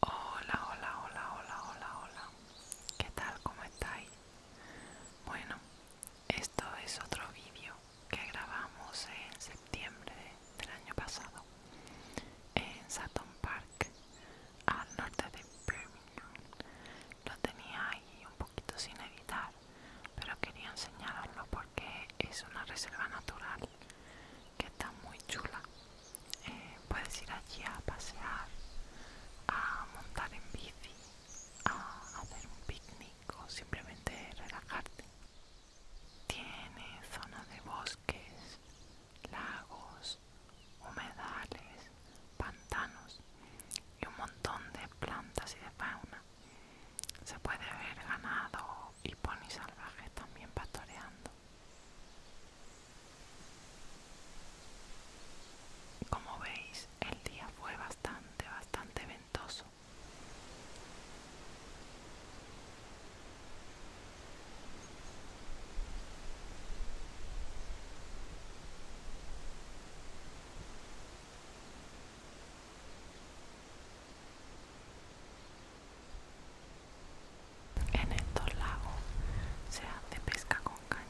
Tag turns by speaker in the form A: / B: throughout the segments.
A: Hola, hola, hola, hola, hola, hola. ¿Qué tal? ¿Cómo estáis? Bueno, esto es otro vídeo que grabamos en septiembre del año pasado en Sutton Park, al norte de Birmingham. Lo tenía ahí un poquito sin editar pero quería enseñaroslo porque es una reserva natural que está muy chula. Eh, puedes ir allí a pasear, a montar en bici, a hacer un picnic o simplemente relajarte. Tiene zonas de bosques, lagos, humedales, pantanos y un montón de plantas y de fauna se puede ver ganado y ponis salvaje también pastoreando. Como veis, el día fue bastante, bastante ventoso. En estos lagos se hace pesca con caña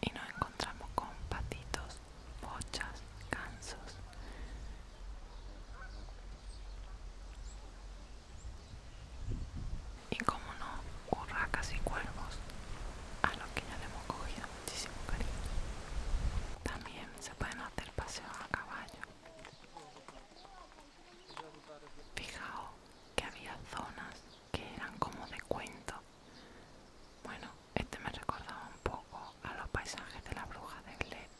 A: y nos encontramos con patitos, bochas, gansos. Y como no, urracas y cuervos, a los que ya le hemos cogido muchísimo cariño. También se pueden hacer paseos a caballo. Fijaos que había zonas que eran como de cuento bueno, este me recordaba un poco a los paisajes de la bruja de Led.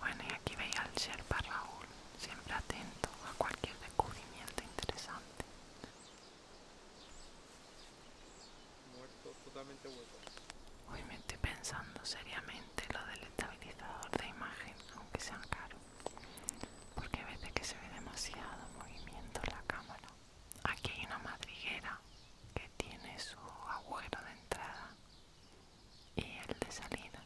A: Bueno, y aquí veía al Sherpa Raúl, siempre atento a cualquier descubrimiento interesante. Muerto, totalmente muerto. Hoy me estoy pensando seriamente lo del estabilizador de imagen, aunque sean caro porque a veces que se ve demasiado movimiento en la cámara Aquí hay una madriguera que tiene su agujero de entrada y el de salida.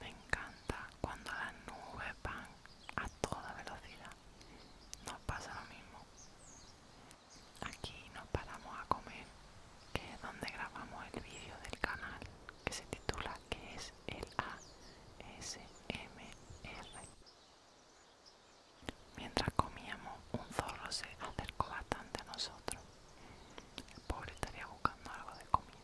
A: Me encanta cuando las nubes van a toda velocidad nos pasa lo mismo. Aquí nos paramos a comer, que es donde grabamos el vídeo del canal que se titula que es el ASMR. Mientras comíamos, un zorro se acercó bastante a nosotros. El pobre estaría buscando algo de comida.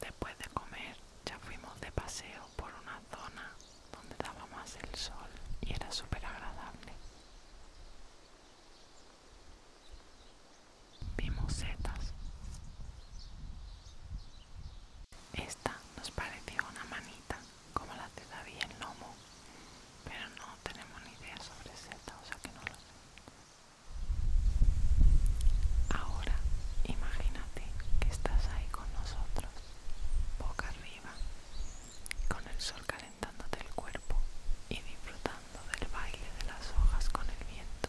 A: Después de comer ya fuimos de paseo por una zona donde daba más el sol y era súper agradable. Vimos setas. Esta nos pareció una manita como la te sabía el Nomo, pero no tenemos ni idea sobre Z, o sea que no lo sé. Ahora imagínate que estás ahí con nosotros, boca arriba, con el sol calentándote el cuerpo y disfrutando del baile de las hojas con el viento.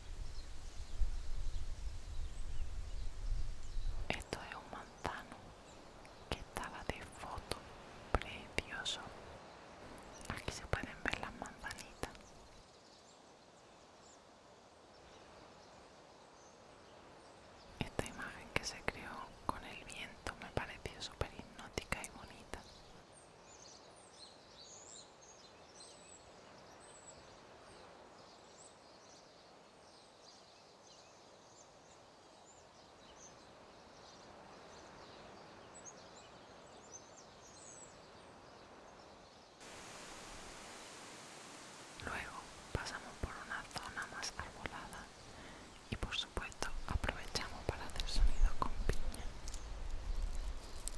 A: Esto es un manzano que estaba de foto, precioso. Aquí se pueden ver las manzanitas. Esta imagen que se creó con el viento me pareció súper hipnótica y bonita. Luego pasamos por una zona más arbolada y por supuesto aprovechamos para hacer sonido con piña.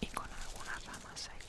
A: y con algunas ramas secas.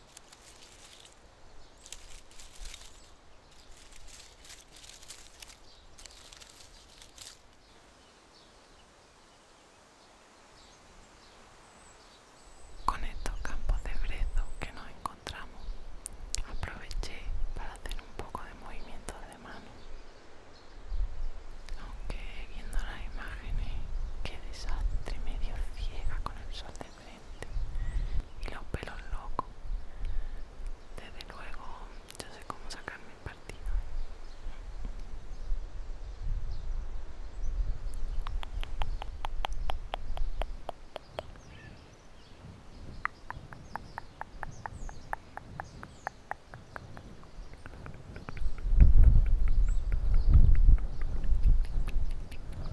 A: Con estos campos de brezo que nos encontramos, aproveché para hacer un poco de movimiento de mano. Aunque viendo las imágenes, qué desastre, medio ciega con el sol y los pelos locos. Desde luego, yo sé cómo sacarme el partido.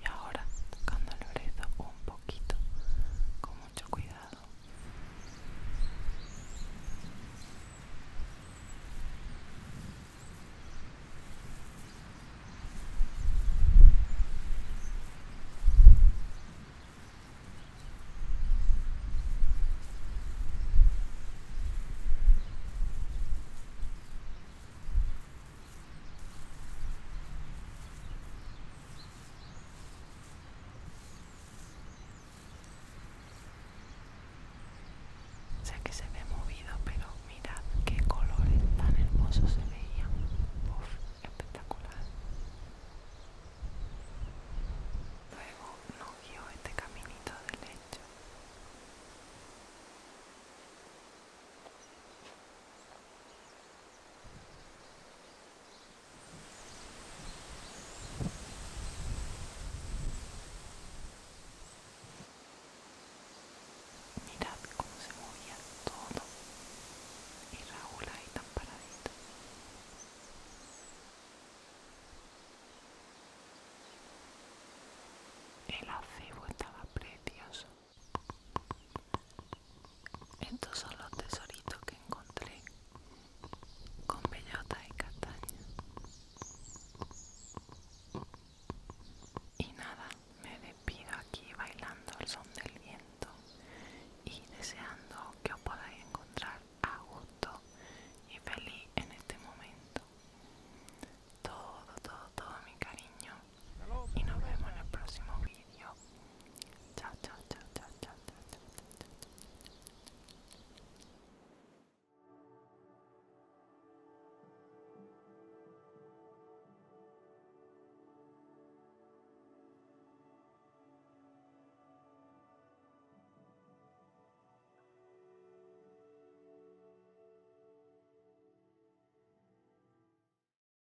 A: Y ahora tocando el brazo un poco quito con mucho cuidado Sé que se ve movido, pero mirad qué colores tan hermosos se veían. espectacular. Luego nos guió este caminito de lecho. Mirad cómo se movía todo y Raúl ahí tan paradito. El acebo estaba precioso. Estos son los tesoritos que encontré con bellota y castaña. Y nada, me despido aquí bailando el son del viento y deseando que os podáis encontrar a gusto y feliz en este momento. Todo, todo, todo mi cariño y nos vemos en el próximo video.